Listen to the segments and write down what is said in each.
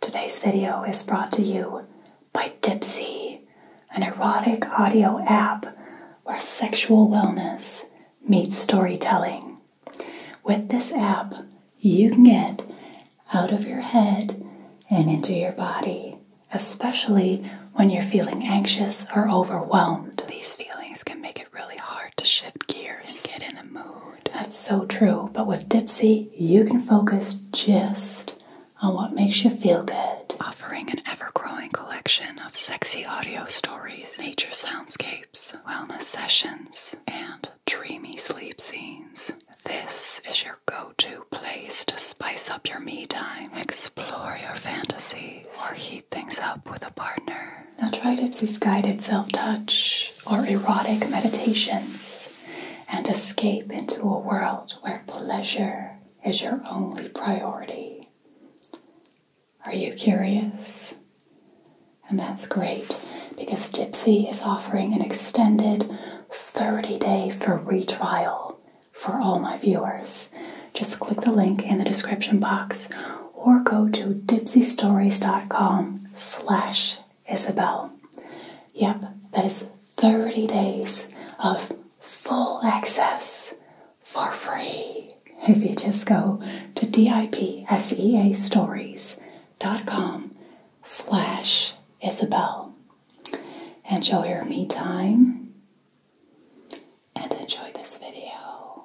Today's video is brought to you by Dipsy, an erotic audio app where sexual wellness meets storytelling. With this app, you can get out of your head and into your body, especially when you're feeling anxious or overwhelmed. These feelings can make it really hard to shift gears get in the mood. That's so true. But with Dipsy, you can focus just on what makes you feel good. Offering an ever growing collection of sexy audio stories, nature soundscapes, wellness sessions, and dreamy sleep scenes. This is your go to place to spice up your me time, explore your fantasies, or heat things up with a partner. Now try Dipsy's guided self touch or erotic meditations and escape into a world where pleasure is your only priority. Are you curious? And that's great because Gypsy is offering an extended 30 day free trial for all my viewers. Just click the link in the description box or go to dipsystories.com slash Isabel. Yep, that is 30 days of full access for free if you just go to dipseastories.com slash Isabel. you'll hear me time and enjoy this video.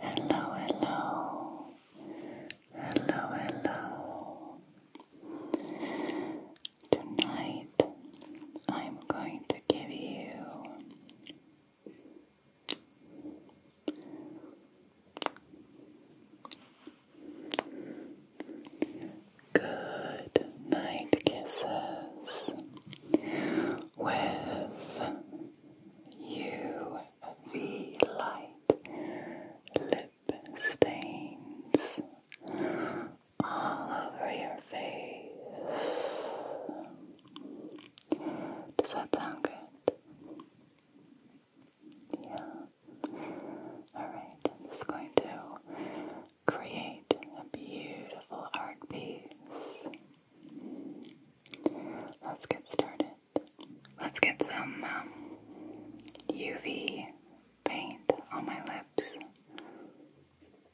Hello, hello, hello, hello. Tonight I'm going to give you Good night kisses with UV light lip stains all over your face. Does that sound good? Yeah. Alright, I'm just going to create a beautiful art piece. Let's get started. Let's get some UV um, paint on my lips.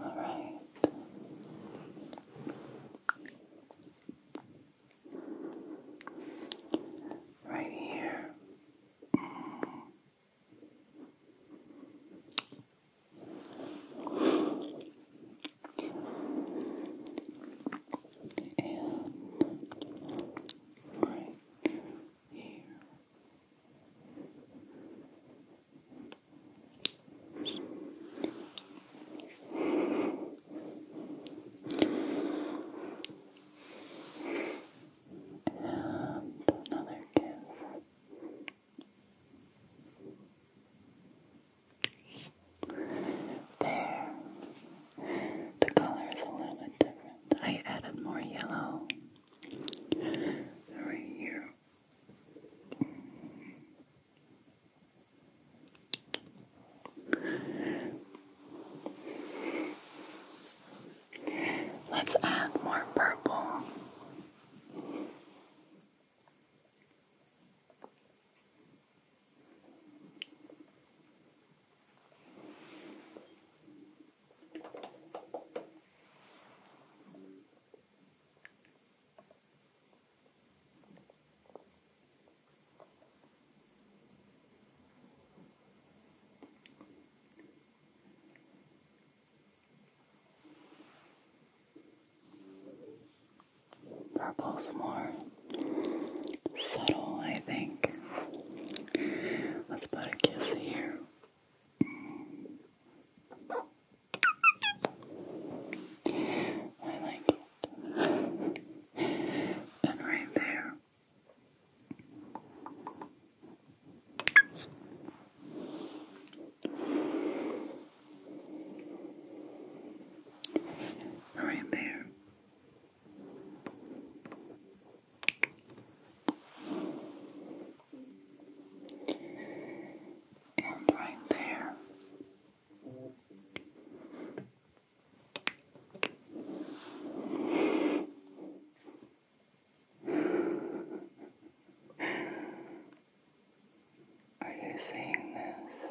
All right. Right here and right here. And another kiss. There. The color is a little bit different. I added more yellow right here. Let's add more purple. Purple's more subtle, I think. Let's put a kiss here. I like it. And right there. Right there right there. Are you seeing this?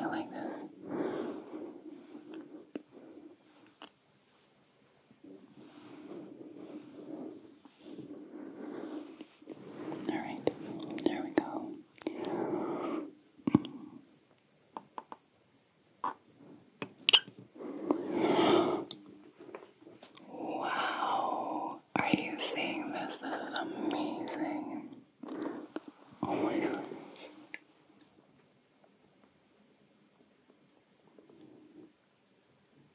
I like this. Alright, there we go. Wow, are you seeing this? amazing. Oh my gosh.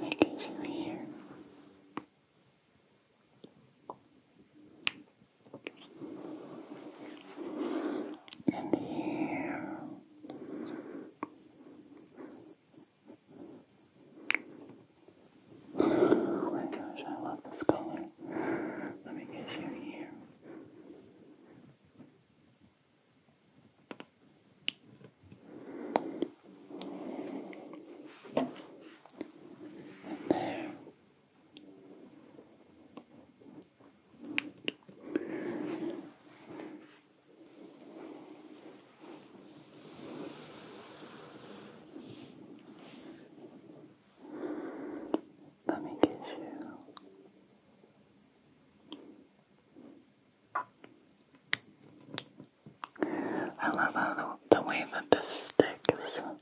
because you here. And here. Oh my gosh, I love this color. Let me get you here. And there. Let me get you I love how the, way that this sticks. Listen.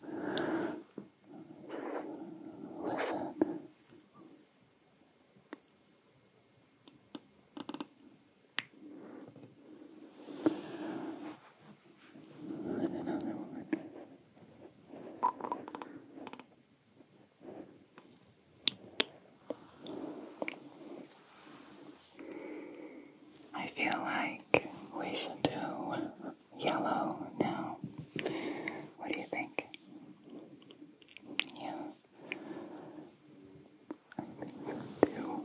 I feel like we should do yellow now. What do you think? Yeah. I think so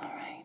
All right,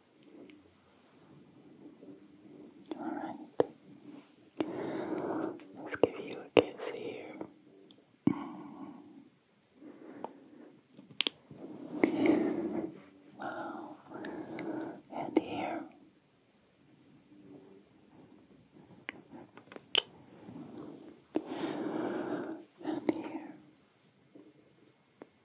Alright. Let's give you a kiss here. wow. And here. And here.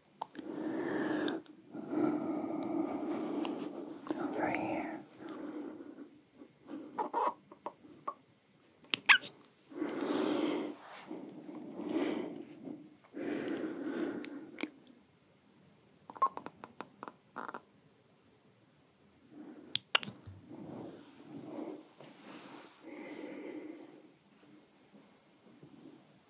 Over here.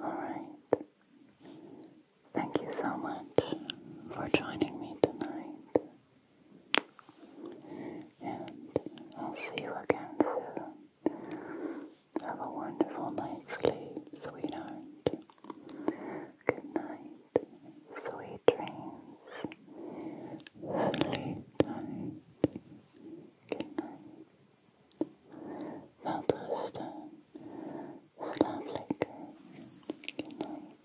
All right. Thank you so much for joining me tonight. And I'll see you again soon. Have a wonderful night's sleep, sweetheart. Good night. Sweet dreams. Sleep tight. Wel rusten. Slaap lekker. Goodnight.